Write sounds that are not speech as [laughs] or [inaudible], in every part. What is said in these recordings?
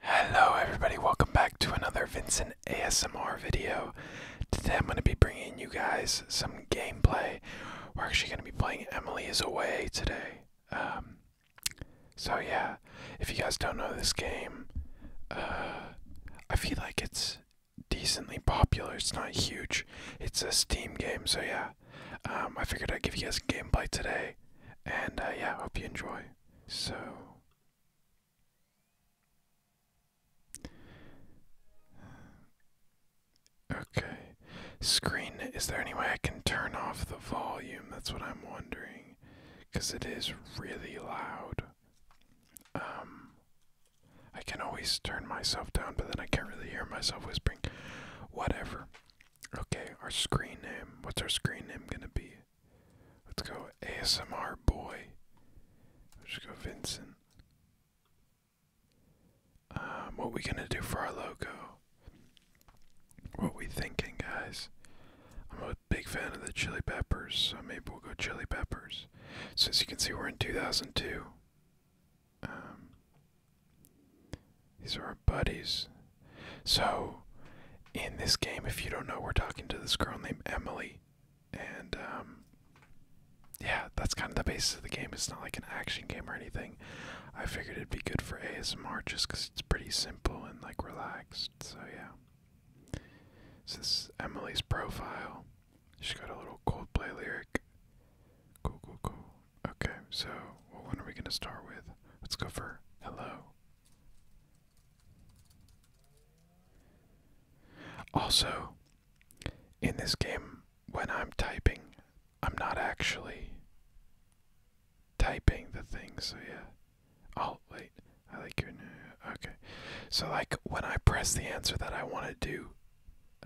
Hello everybody, welcome back to another Vincent ASMR video. Today I'm going to be bringing you guys some gameplay. We're actually going to be playing Emily is Away today. Um, so yeah, if you guys don't know this game, uh, I feel like it's decently popular. It's not huge. It's a Steam game, so yeah. Um, I figured I'd give you guys gameplay today. And uh, yeah, hope you enjoy so. Uh, okay. Screen, is there any way I can turn off the volume? That's what I'm wondering. Because it is really loud. Um, I can always turn myself down, but then I can't really hear myself whispering. Whatever. Okay, our screen name. What's our screen name going to be? Let's go ASMR boy. Let's go Vincent. Um, what we gonna do for our logo? What we thinking, guys? I'm a big fan of the Chili Peppers, so maybe we'll go Chili Peppers. So as you can see, we're in 2002. Um, these are our buddies. So, in this game, if you don't know, we're talking to this girl named Emily, and um, yeah, that's kind of the basis of the game. It's not like an action game or anything. I figured it'd be good for ASMR just because it's pretty simple and like relaxed. So yeah, this is Emily's profile. she got a little Coldplay lyric. Cool, cool, cool. Okay, so what one are we gonna start with? Let's go for hello. Also, in this game, when I'm typing, I'm not actually typing the thing, so yeah. Oh, wait, I like your new. Okay. So, like, when I press the answer that I want to do,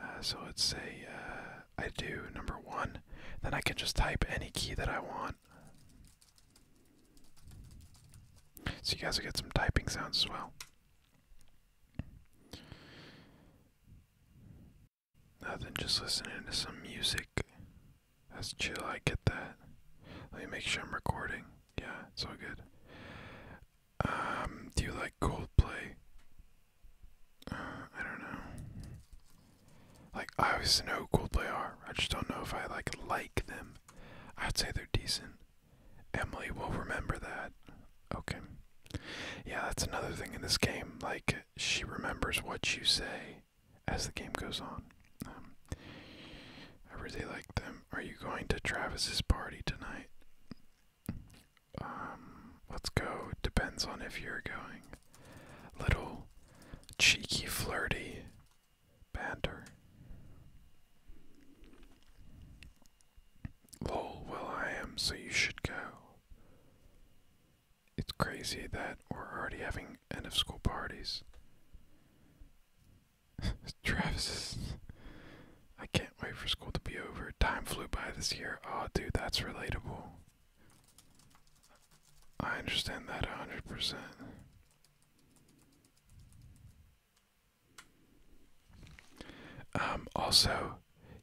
uh, so let's say uh, I do number one, then I can just type any key that I want. So you guys will get some typing sounds as well. Nothing, just listening to some music. That's chill, I get that. Let me make sure I'm recording. Yeah, it's all good. Um, do you like Coldplay? Uh, I don't know. Like I always know who they are. I just don't know if I like like them. I'd say they're decent. Emily will remember that. Okay. Yeah, that's another thing in this game. Like she remembers what you say as the game goes on. Um, I really like them. Are you going to Travis's party tonight? Um, let's go. Depends on if you're going. Little cheeky flirty banter. Lol, well, I am, so you should go. It's crazy that we're already having end of school parties. [laughs] Travis I can't wait for school to be over. Time flew by this year. Oh, dude, that's relatable. I understand that 100%. Um, also,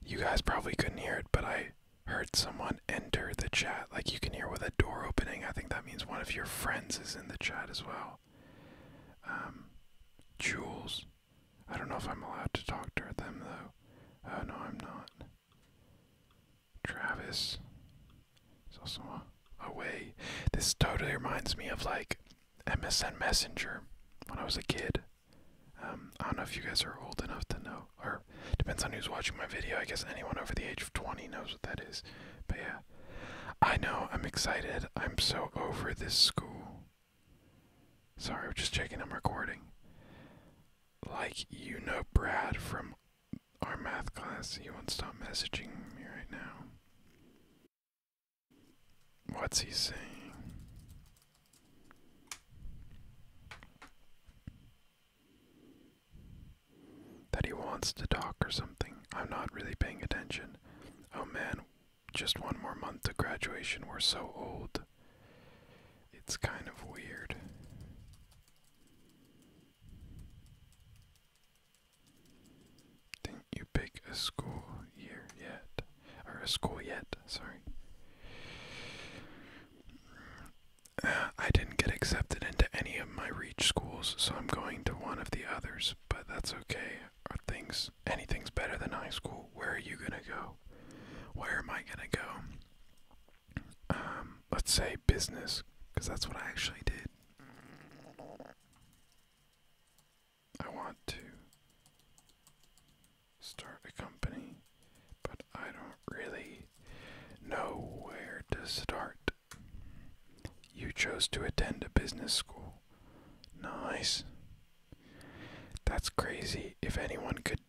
you guys probably couldn't hear it, but I heard someone enter the chat. Like you can hear with a door opening. I think that means one of your friends is in the chat as well. Um, Jules. I don't know if I'm allowed to talk to them though. Oh no, I'm not. Travis. There's also a, way. This totally reminds me of like MSN Messenger when I was a kid. Um, I don't know if you guys are old enough to know, or depends on who's watching my video. I guess anyone over the age of 20 knows what that is. But yeah, I know, I'm excited. I'm so over this school. Sorry, I'm just checking I'm recording. Like, you know Brad from our math class. He won't stop messaging me right now. What's he saying? That he wants to talk or something. I'm not really paying attention. Oh man, just one more month to graduation. We're so old. It's kind of weird. Didn't you pick a school year yet? Or a school yet? Sorry. Uh, I didn't get accepted into any of my reach schools, so I'm going to one of the others, but that's okay. things anything's better than high school? Where are you gonna go? Where am I gonna go? Um, let's say business, because that's what I actually did. I want to start a company, but I don't really know where to start. You chose to attend a business school. Nice. That's crazy. If anyone could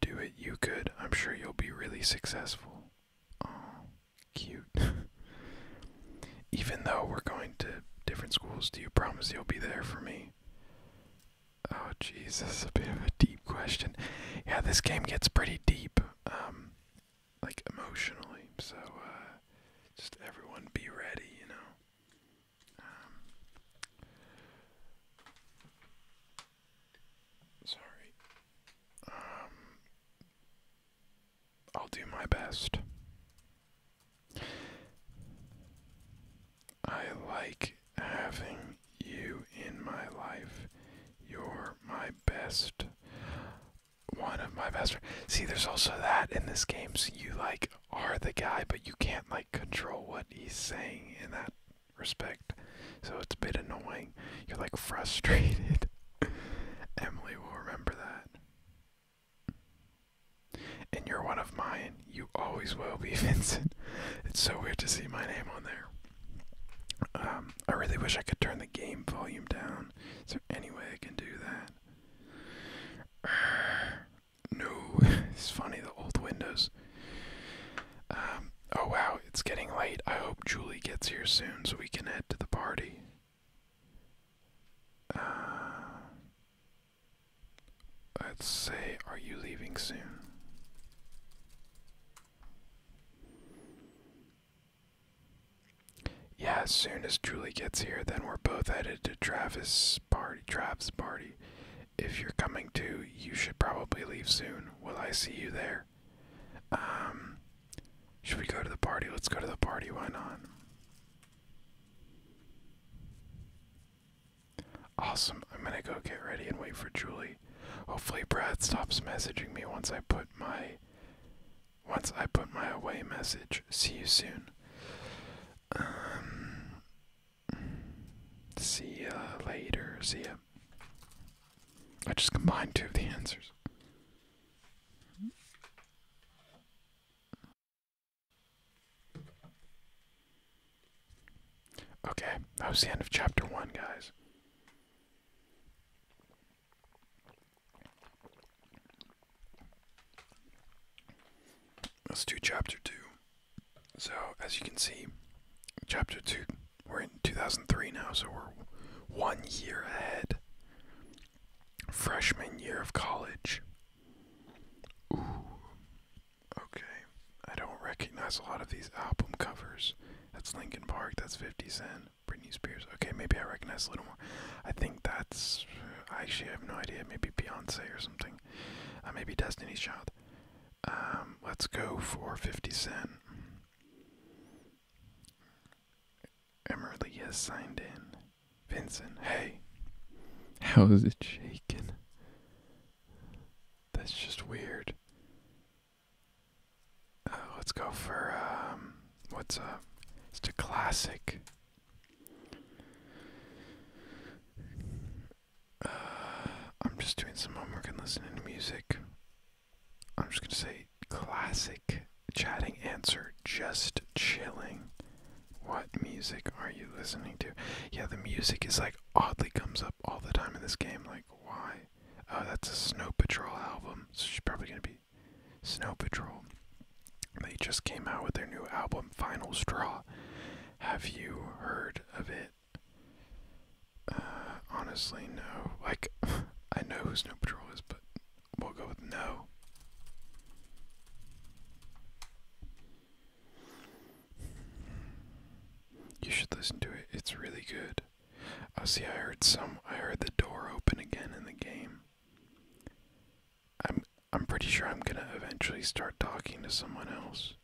do it, you could. I'm sure you'll be really successful. Oh, cute. [laughs] Even though we're going to different schools, do you promise you'll be there for me? Oh, Jesus, a bit of a deep question. Yeah, this game gets pretty deep, um, like emotionally. So, uh, just everyone be ready, you know. Um, sorry. Um, I'll do my best. I like having you in my life. You're my best. One of my best. See, there's also that in this game. So you, like, are the guy, but you can't, like, control what he's saying in that respect. So it's a bit annoying. You're, like, frustrated. [laughs] Emily will remember that. And you're one of mine. You always will be, [laughs] Vincent. It's so weird to see my name on there. Um, I really wish I could turn the game volume down. Is there any way I can do that? [sighs] No, [laughs] it's funny, the old windows. Um, oh wow, it's getting late. I hope Julie gets here soon so we can head to the party let's uh, say, are you leaving soon? Yeah, as soon as Julie gets here, then we're both headed to Travis' party. Travis' party. If you're coming too, you should probably leave soon. Will I see you there? Um, should we go to the party? Let's go to the party. Why not? Awesome. I'm gonna go get ready and wait for Julie. Hopefully, Brad stops messaging me once I put my once I put my away message. See you soon. Um. See ya later. See ya. I just combined two of the answers. Okay, that was the end of chapter one, guys. Let's do chapter two. So, as you can see, chapter two, we're in 2003 now, so we're one year ahead Freshman year of college. Ooh. Okay. I don't recognize a lot of these album covers. That's Lincoln Park, that's 50 Cent, Britney Spears. Okay, maybe I recognize a little more. I think that's. I actually have no idea. Maybe Beyonce or something. Uh, maybe Destiny's Child. Um, let's go for 50 Cent. Emmerly has signed in. Vincent, hey, how is it shaking? That's just weird. Uh, let's go for um, what's up? It's a classic. Uh, I'm just doing some homework and listening to music. I'm just going to say classic chatting answer, just chilling. What music are you listening to? Yeah, the music is like oddly comes up all the time in this game. Like, why? Oh, that's a Snow Patrol album. So she's probably going to be Snow Patrol. They just came out with their new album, Final Straw. Have you heard of it? Uh, honestly, no. Like, [laughs] I know who Snow Patrol is, but We'll go with no. You should listen to it. It's really good. Oh, see, I heard some. I heard the door open again in the game. I'm. I'm pretty sure I'm gonna eventually start talking to someone else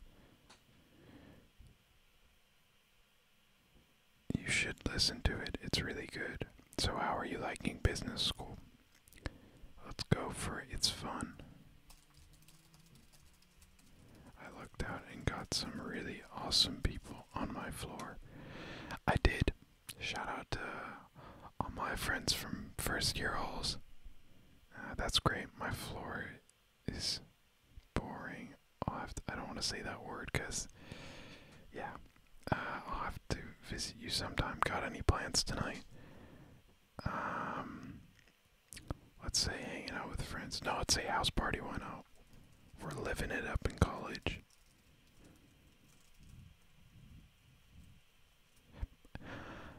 you should listen to it. It's really good. So, how are you liking business school? Let's go for it. It's fun. I looked out and got some really awesome people on my floor. I did. Shout out to all my friends from first year halls. Uh, that's great. My floor is boring. I don't want to say that word because, yeah, uh, I'll have to visit you sometime. Got any plans tonight? Um, let's say hanging out with friends. No, let's say house party. one not? We're living it up in college.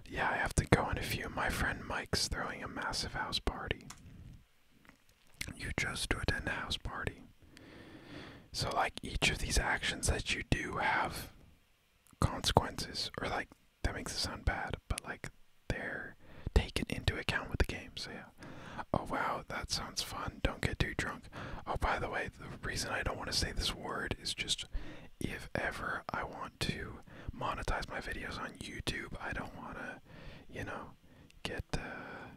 Yeah, I have to go in a few. My friend Mike's throwing a massive house party. You chose to attend a house party. So, like, each of these actions that you do have consequences, or like, that makes it sound bad, but like, they're taken into account with the game. So, yeah. Oh, wow, that sounds fun. Don't get too drunk. Oh, by the way, the reason I don't want to say this word is just if ever I want to monetize my videos on YouTube, I don't want to, you know, get, uh,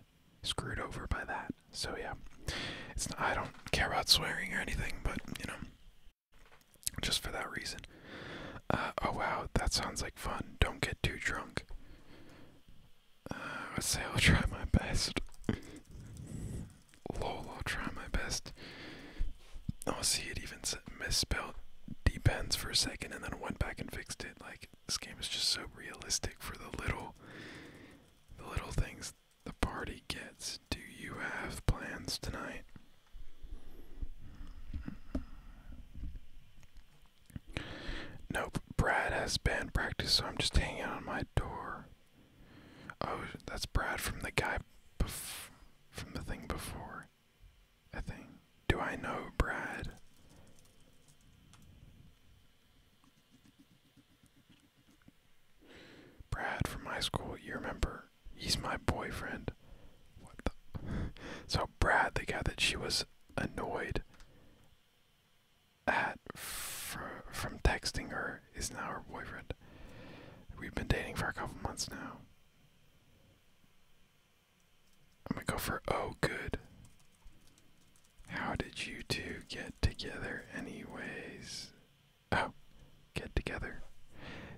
screwed over by that. So yeah, it's not, I don't care about swearing or anything, but you know, just for that reason. Uh, oh wow, that sounds like fun. Don't get too drunk. Uh, I would say I'll try my best. Lol, I'll try my best. Oh, see, it even misspelled depends for a second, and then went back and fixed it. Like this game is just so realistic for the little, the little things the party gets. Do you have plans tonight? Nope, Brad has band practice, so I'm just hanging on my door. Oh, that's Brad from the guy bef from the thing before. I think. Do I know Brad? Brad from high school, you remember? He's my boyfriend. What the? [laughs] so Brad, the guy that she was annoyed at from texting her, is now her boyfriend. We've been dating for a couple months now. I'm gonna go for oh good. How did you two get together, anyways? Oh, get together.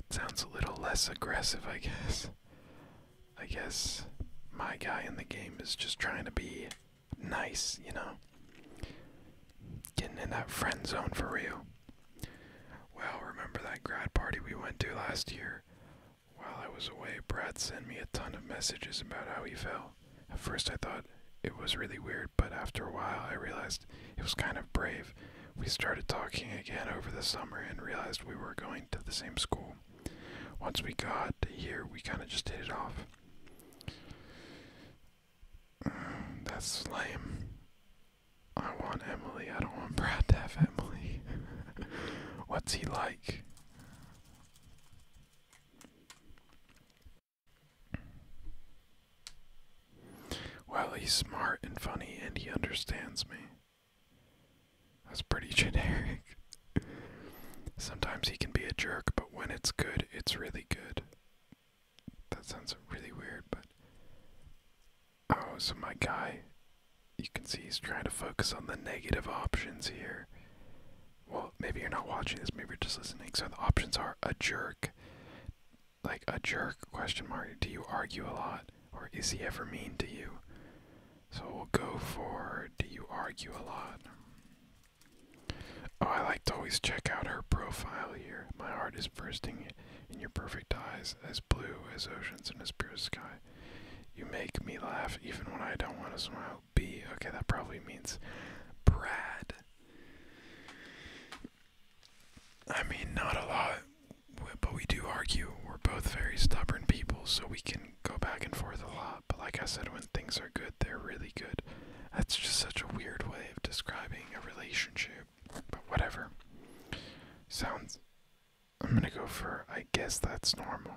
sounds a little less aggressive, I guess. I guess my guy in the game is just trying to be nice, you know? Getting in that friend zone for real. Well, remember that grad party we went to last year? While I was away, Brad sent me a ton of messages about how he felt. At first, I thought it was really weird, but after a while, I realized it was kind of brave. We started talking again over the summer and realized we were going to the same school. Once we got here, we kind of just hit it off. Mm, that's lame. I want Emily. I don't want Brad to have Emily. [laughs] What's he like? Well, he's smart and funny and he understands me. That's pretty [laughs] generic. Sometimes he can be a jerk, but when it's good, it's really good. That sounds really weird, but. Oh, so my guy, you can see he's trying to focus on the negative options here well, maybe you're not watching this, maybe you're just listening. So the options are a jerk, like a jerk question mark. Do you argue a lot, or is he ever mean to you? So we'll go for do you argue a lot? Oh, I like to always check out her profile here. My heart is bursting in your perfect eyes, as blue as oceans and as pure as sky. You make me laugh even when I don't want to smile. B. Okay, that probably means Brad. I mean, not a lot, but we do argue. We're both very stubborn people, so we can go back and forth a lot. But like I said, when things are good, they're really good. That's just such a weird way of describing a relationship, but whatever. Sounds. I'm gonna go for, I guess that's normal.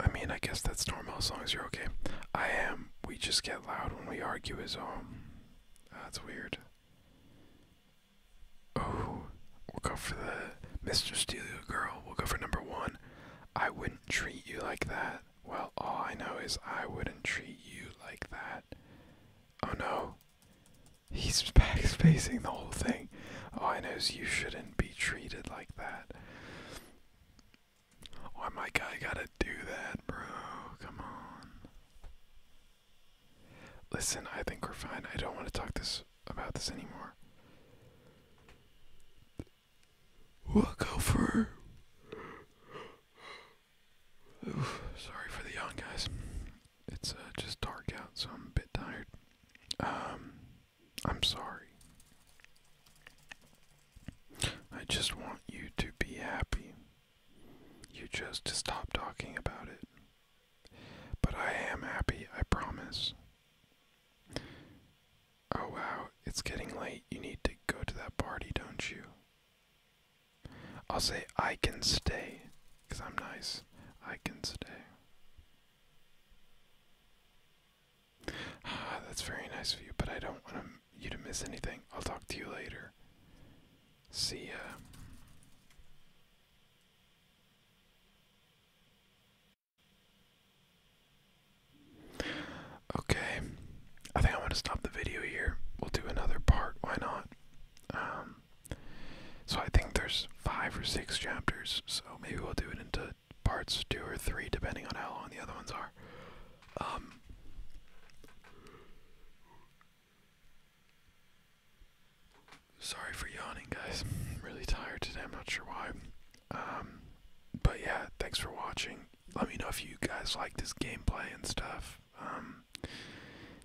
I mean, I guess that's normal as long as you're okay. I am. We just get loud when we argue, is all. Um, that's weird. Oh, we'll go for the Mr. Steal Girl. We'll go for number one. I wouldn't treat you like that. Well, all I know is I wouldn't treat you like that. Oh no. He's [laughs] backspacing the whole thing. All I know is you shouldn't be treated like that. Why my guy gotta do that, bro? Come on. Listen, I think we're fine. I don't want to talk this about this anymore. We'll go for Ooh, sorry for the yawn, guys. It's uh, just dark out, so I'm a bit tired. Um, I'm sorry. I just want you to be happy. You just to stop talking about it. But I am happy, I promise. Oh wow, it's getting late. You need to go to that party, don't you? I'll say I can stay, because I'm nice. I can stay. Ah, that's very nice of you, but I don't want you to miss anything. I'll talk to you later. See ya. Okay, I think I'm gonna stop the video here. We'll do another part. Why not? Um, so I think there's five or six chapters. So maybe we'll do it into parts two or three, depending on how long the other ones are. Um, sorry for yawning, guys. I'm really tired today. I'm not sure why. Um, but yeah, thanks for watching let me know if you guys like this gameplay and stuff. Um,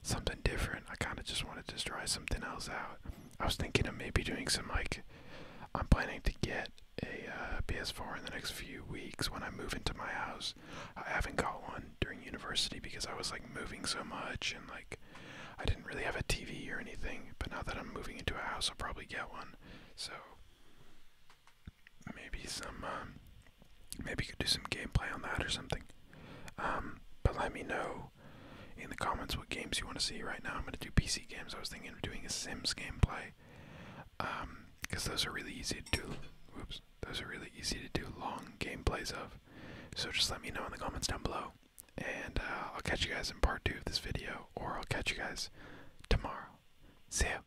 something different. I kind of just wanted to try something else out. I was thinking of maybe doing some like. I'm planning to get a uh, PS4 in the next few weeks when I move into my house. I haven't got one during university because I was like moving so much and like I didn't really have a TV or anything. But now that I'm moving into a house, I'll probably get one. So maybe some, um, maybe you could do some gameplay on that or something. Um, but let me know in the comments what games you want to see right now. I'm going to do PC games. I was thinking of doing a Sims gameplay. because um, those are really easy to do. Oops, those are really easy to do long gameplays of. So just let me know in the comments down below. And uh, I'll catch you guys in part two of this video, or I'll catch you guys tomorrow. See ya.